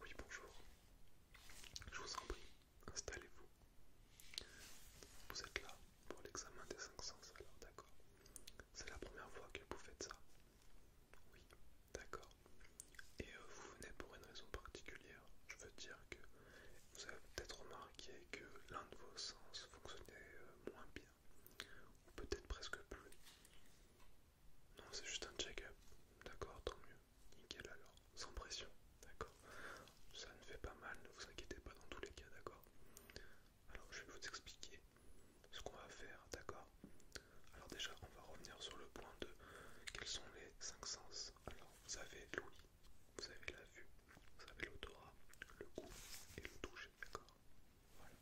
Oui, bonjour. Je vous en prie, installez-vous. Vous êtes là pour l'examen des cinq sens, alors d'accord. C'est la première fois que vous faites ça. Oui, d'accord. Et euh, vous venez pour une raison particulière. Je veux dire que vous avez peut-être remarqué que l'un de vos sens fonctionnait euh, moins bien, ou peut-être presque plus. Non, c'est juste un check-up. D'accord, tant mieux. Nickel alors, sans pression. D'accord. Ça ne fait pas mal, ne vous inquiétez pas dans tous les cas, d'accord. Alors, je vais vous expliquer ce qu'on va faire, d'accord. Alors déjà, on va revenir sur le point de quels sont les cinq sens. Alors, vous avez l'ouïe, vous avez la vue, vous avez l'odorat, le goût et le toucher, d'accord. Voilà.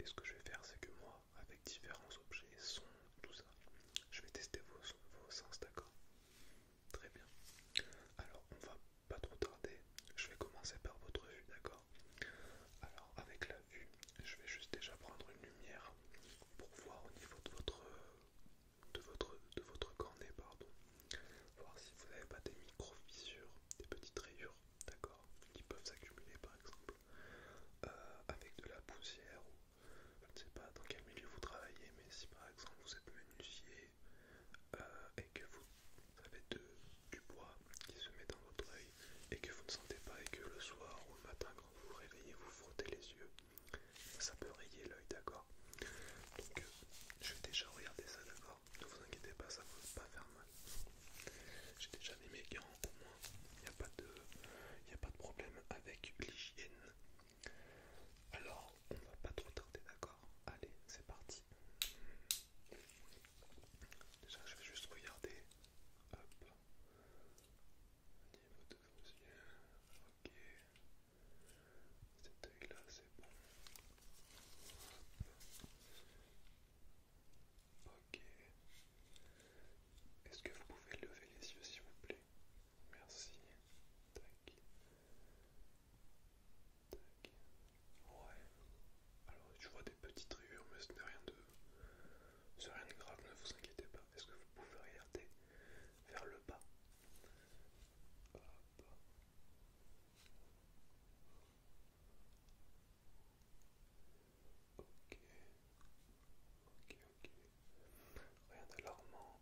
Et ce que je vais faire, c'est que moi, avec différents objets, sons, tout ça. Je vais tester vos, sens, d'accord Très bien. Alors, on va pas trop tarder. Je vais commencer par votre vue, d'accord Alors, avec la vue, je vais juste déjà prendre une lumière pour voir au niveau de votre votre de votre cornet, pardon. Voir si vous n'avez pas des micro fissures, des petites rayures, d'accord Qui peuvent s'accumuler, par exemple. Euh, avec de la poussière ou je ne sais pas dans quel milieu vous travaillez, mais si par exemple vous êtes menuisier euh, et que vous avez du bois qui se met dans votre oeil et que vous ne sentez pas et que le soir ou le matin quand vous vous réveillez vous frottez les yeux, ça peut rayer l'œil, d'accord Donc euh, je vais déjà regarder ça, d'accord Ne vous inquiétez pas, ça ne va pas faire mal. J'ai déjà mes gants pour Il n'y a, pas de problème avec l'hygiène. Alors, on va pas trop tarder, d'accord Allez, c'est parti. Déjà, je vais juste regarder. Hop. Niveau de Ok. Cet œil là, c'est bon. Ok. Est-ce que vous pouvez lever les yeux s'il vous plaît Merci. Ouais. Alors je vois des petites rayures mais ce n'est rien de... rien de grave, ne vous inquiétez pas. Est-ce que vous pouvez regarder vers le bas Ok, ok, ok. Rien d'alarmant.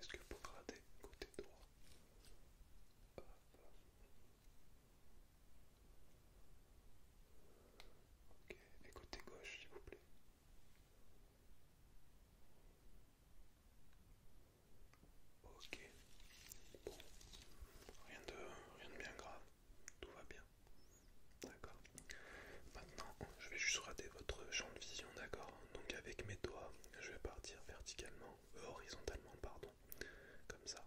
Est-ce que vous gradez côté droit Ok, et côté gauche, s'il vous plaît. Ok, bon, rien de, rien de bien grave, tout va bien. D'accord. Maintenant, je vais juste rater votre champ de vision, d'accord Donc avec mes doigts, je vais partir verticalement, horizontalement, pardon, comme ça.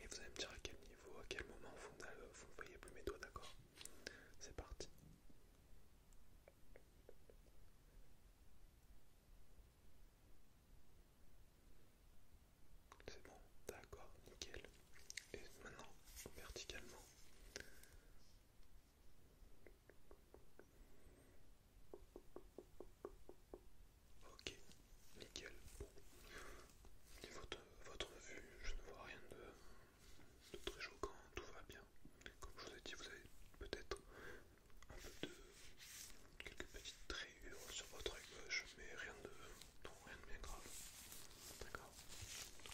Et vous allez me dire à quel niveau, à quel moment vous ne voyez plus mes doigts, d'accord C'est parti. C'est bon, d'accord, nickel. Et maintenant, verticalement. Ok, nickel. Bon. Niveau votre vue, je ne vois rien de, très choquant, tout va bien. Comme je vous ai dit, vous avez peut-être un peu de quelques petites traits euh, sur votre œil gauche, mais rien de, bien grave. D'accord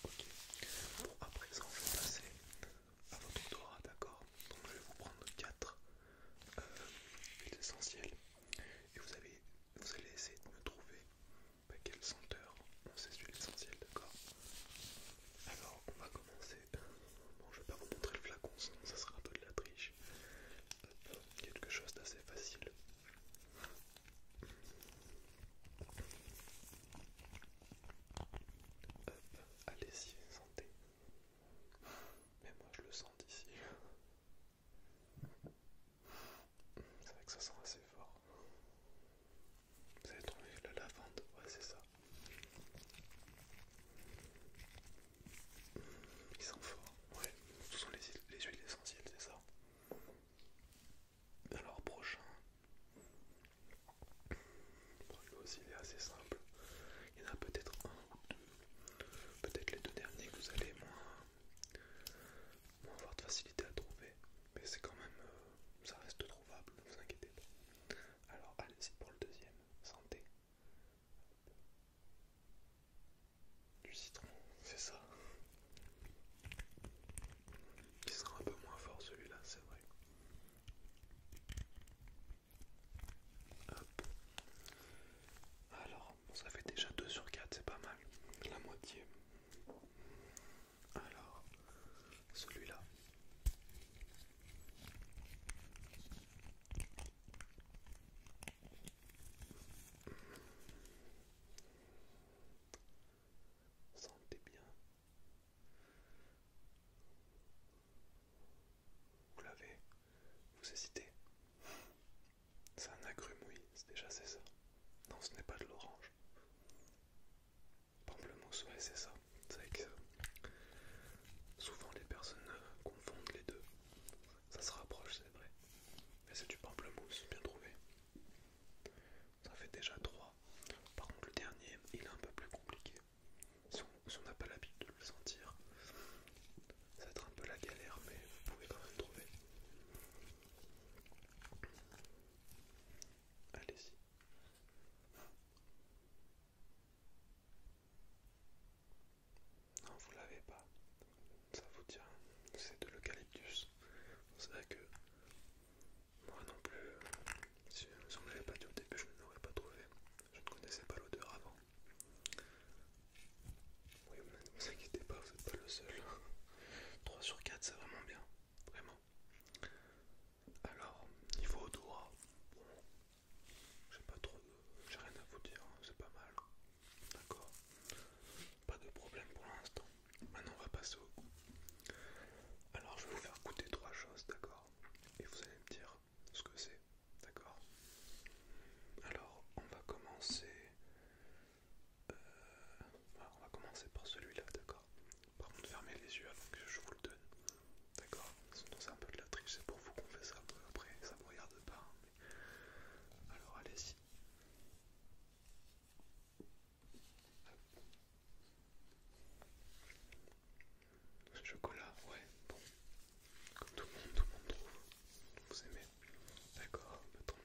Ok. Bon, à présent, je vais passer à votre tour. d'accord Donc, je vais vous prendre quatre euh, huiles essentielles et vous, allez essayer de me trouver bah, quelle senteur on ces huiles essentielles, d'accord Alors, on va commencer. Bon, je vais pas vous montrer le flacon, sinon ça sera un peu de la triche. Euh, quelque chose d'assez facile allez-y, sentez. Mais moi je le sens d'ici. C'est vrai que ça sent assez fort. Vous avez trouvé la lavande Ouais, c'est ça. Il sent fort, ouais ce sont les, huiles essentielles, c'est ça. Alors, prochain. Le aussi, il est assez simple. Il y en a peut-être un ou deux. Peut-être les deux derniers que vous allez moins, moins avoir de facilité à trouver. Mais c'est quand même. Euh, ça reste trouvable, ne vous inquiétez pas. Alors, allez-y pour le deuxième. Santé. Du citron, c'est ça. Qui sera un peu moins fort celui-là, c'est vrai. Alors, ça fait déjà 2 sur 4, c'est pas mal. La moitié. Alors, celui-là. Sentez bien. Vous l'avez Vous hésitez C'est un agrume, oui, déjà c'est ça. Non, ce n'est pas de l'orange. Pamplemousse, ouais, c'est ça. C'est savez que euh, Souvent les personnes euh, confondent les deux. Ça se rapproche, c'est vrai. Mais c'est du pamplemousse, bien trouvé. Ça fait déjà trois. Par contre, le dernier, il est un peu plus compliqué. Si on n'a pas l'habitude de le sentir, ça va être un peu la galère, mais vous pouvez quand même trouver. Allez-y. Non, vous l'avez pas. Ça vous tient. C'est de l'eucalyptus. C'est vrai que moi non plus, euh, si, on ne l'avait pas dit au début, je ne l'aurais pas trouvé. Je ne connaissais pas l'odeur avant. Oui, ne vous inquiétez pas, vous n'êtes pas le seul. 3 sur 4, c'est vraiment bien. Vraiment. Alors, niveau odorat, bon, j'ai pas trop j'ai rien à vous dire, hein, c'est pas mal. D'accord Pas de problème pour l'instant. Maintenant, on va passer au Alors, je vais vous faire goûter trois choses, d'accord Et vous allez me dire ce que c'est, d'accord Alors, on va commencer. Euh, on va commencer par celui-là, d'accord Par contre, fermez les yeux avant que je vous le donne, d'accord Sinon, c'est un peu de la triche, c'est pour vous qu'on fait ça. Après, ça vous regarde pas, hein, alors allez-y. Chocolat, ouais, bon. Comme tout le monde, tout le monde trouve. Vous aimez D'accord, bah, tant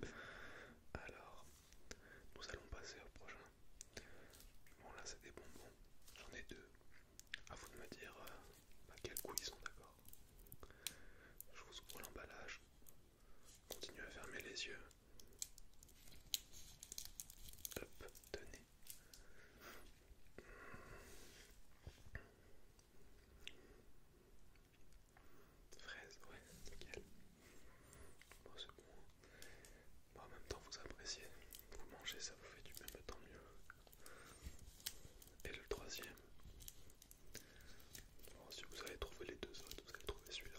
mieux. Alors, nous allons passer au prochain. Bon là c'est des bonbons. J'en ai deux. À vous de me dire à euh, bah, quel coup ils sont, d'accord je vous ouvre l'emballage. Continuez à fermer les yeux. Hop, tenez. Fraise, ouais, nickel. Bon, c'est bon. en même temps, vous appréciez. Vous mangez, ça vous fait du même, tant mieux et le troisième. si vous allez trouver les deux autres, vous allez trouver celui-là.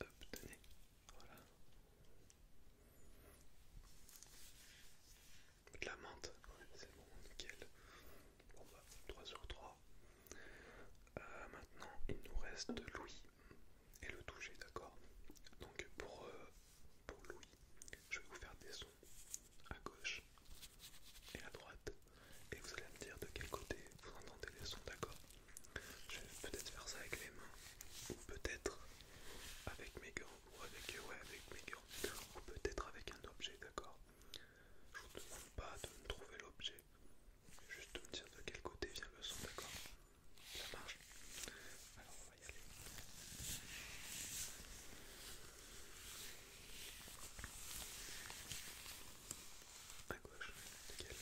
Hop, tenez, voilà. De la menthe, c'est bon, nickel. Bon bah, 3 sur 3. Euh, maintenant, il nous reste Louis et le toucher, d'accord Donc pour euh, pour Louis, je vais vous faire des sons à gauche et à droite, et vous allez me dire de quel côté vous entendez les sons, d'accord Je vais peut-être faire ça avec les mains, ou peut-être avec mes gants, ou avec, ouais, avec mes gants, ou peut-être avec un objet, d'accord Je vous demande pas de me trouver l'objet, juste de me dire de quel côté vient le son, d'accord Ça marche on va y aller. À gauche, nickel.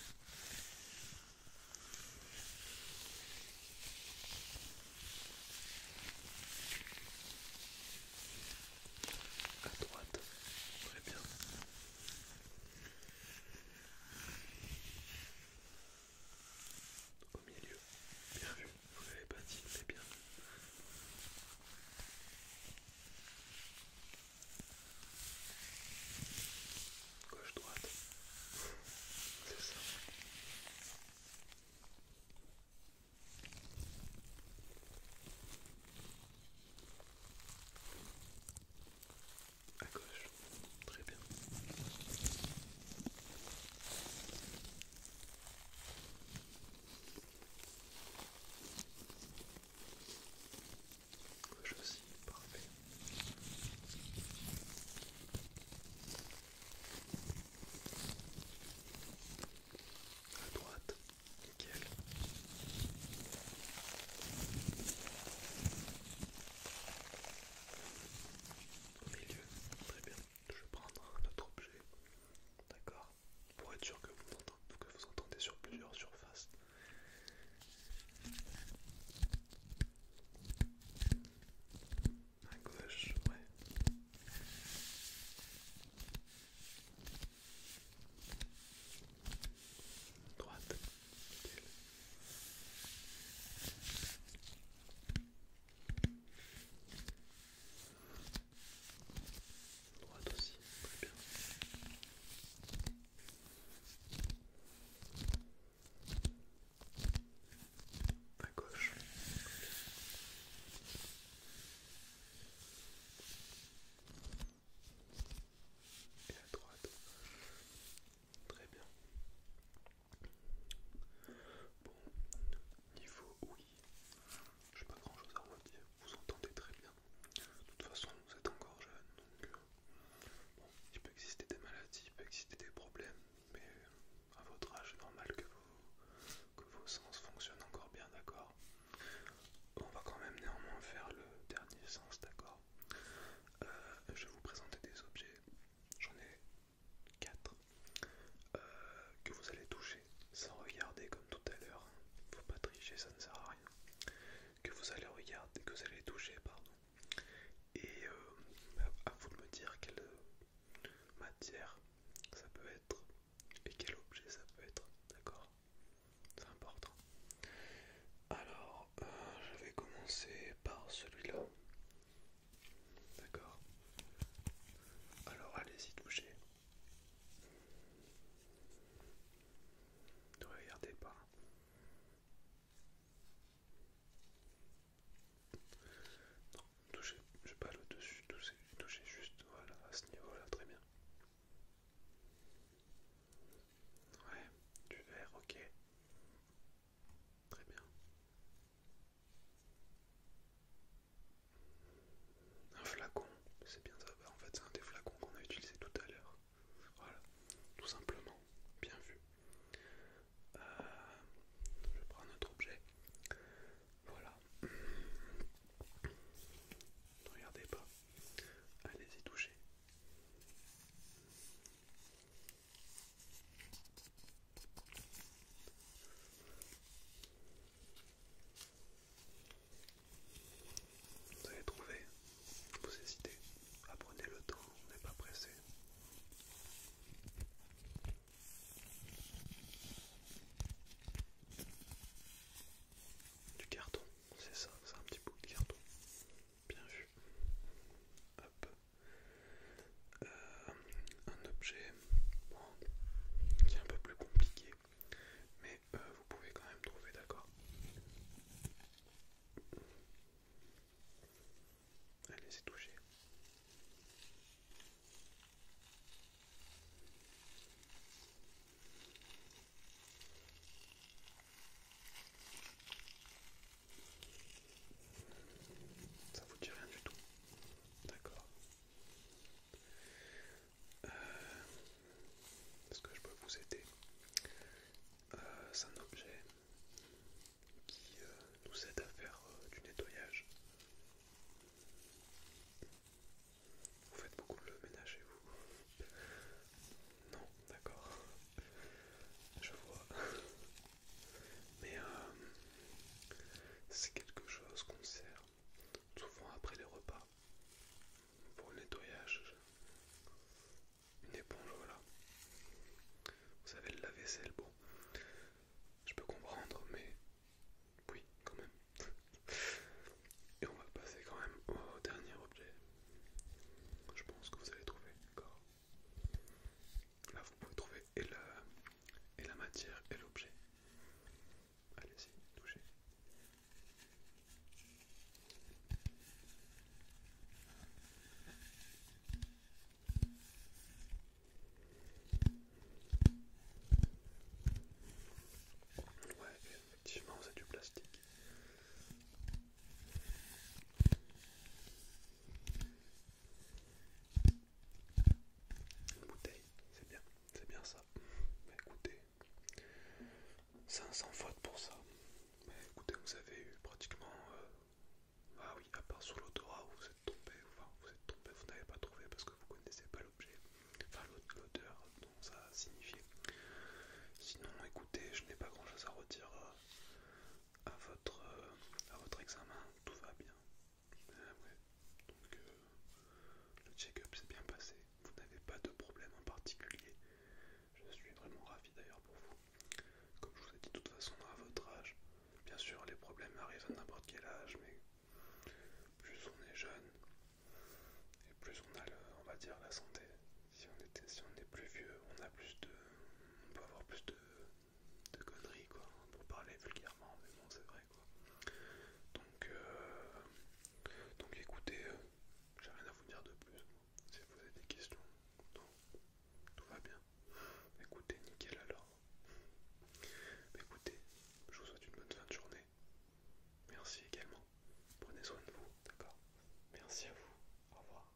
À droite, très bien. Au milieu, bien vu vous l'avez pas dit, mais bien. Gauche, droite. C'est ça. À gauche, très bien. Gauche aussi, parfait. À droite, nickel. Au milieu, très bien je vais prendre un autre objet, d'accord Pour être sûr que vous, entendez, que vous sur plusieurs surfaces. À gauche, ouais. Droite, Droite aussi, très bien. À gauche. Et à droite. Très bien. Bon, niveau oui, j'ai pas grand chose à vous dire, vous entendez très bien. De toute façon, vous êtes encore jeune, donc euh, bon, il peut exister des maladies, il peut exister des problèmes, mais à votre âge, c'est normal que vos, que vos sens fonctionnent encore bien, d'accord On va quand même néanmoins faire le dernier sens, d'accord euh, Je vais vous présenter des objets, j'en ai 4 euh, que vous allez toucher sans regarder comme tout à l'heure, faut pas tricher, ça ne sert à rien. Que vous allez regarder, que vous allez toucher, pardon. Et euh, à vous de me dire quelle matière ça peut être et quel objet ça peut être, d'accord C'est important. Alors, euh, je vais commencer par celui-là. D'accord Alors allez-y toucher. Ne regardez pas. Non, touchez, je pas le dessus, touchez, juste, voilà, à ce niveau-là, très bien. Ouais, du vert, ok. Très bien. Un flacon, c'est bien ça. Bah, en fait, c'est un des flacons qu'on a utilisé tout à l'heure. Voilà, tout simplement. Bien vu. Euh, je prends notre objet. Voilà. Ne regardez pas. Allez-y toucher. Vous avez trouvé, vous hésitez, apprenez le temps, on n'est pas pressé. Du carton, c'est ça, c'est un petit bout de carton. Bien vu. Hop. Euh, un objet qui est un peu plus compliqué, mais euh, vous pouvez quand même trouver d'accord. allez c'est touché. Ça vous dit rien du tout. D'accord. Est-ce euh, que je peux vous aider euh, C'est un objet qui euh, nous aide à faire du nettoyage. Vous faites beaucoup le ménage vous Non, d'accord. Je vois. Mais euh, c'est quelque chose qu'on sert souvent après les repas pour le nettoyage. Une éponge, voilà. Vous savez, le lave-vaisselle, bon, je peux comprendre, mais oui, quand même. Et on va passer quand même au dernier objet. Je pense que vous allez trouver, d'accord Là, vous pouvez trouver et, la matière et l'objet. Allez-y, touchez. Ouais, effectivement, c'est du plastique. Une bouteille, c'est bien, c'est bien ça. Bah, écoutez, 500 faute pour ça. Bah, écoutez, vous avez eu pratiquement. Euh, ah oui, à part sur l'odorat où vous êtes tombé, vous êtes tombé, vous n'avez pas trouvé parce que vous connaissez pas l'objet, enfin l'odeur dont ça signifiait. Sinon, écoutez, je n'ai pas grand chose à redire. Euh, à votre, euh, à votre examen, tout va bien. Euh, Donc euh, le check-up s'est bien passé, vous n'avez pas de problème en particulier. Je suis vraiment ravi d'ailleurs pour vous. Comme je vous ai dit, de toute façon, à votre âge, bien sûr, les problèmes arrivent à n'importe quel âge, mais plus on est jeune et plus on a, on va dire, la santé. Si on, était, si on est plus vieux, on a plus de, on peut avoir plus de, de conneries quoi, hein, pour parler vulgairement, mais bon c'est vrai quoi. Donc, euh, donc écoutez, euh, j'ai rien à vous dire de plus. Si vous avez des questions, non, tout va bien. Écoutez, nickel alors. écoutez, je vous souhaite une bonne fin de journée. Merci également. Prenez soin de vous, d'accord Merci à vous. Au revoir.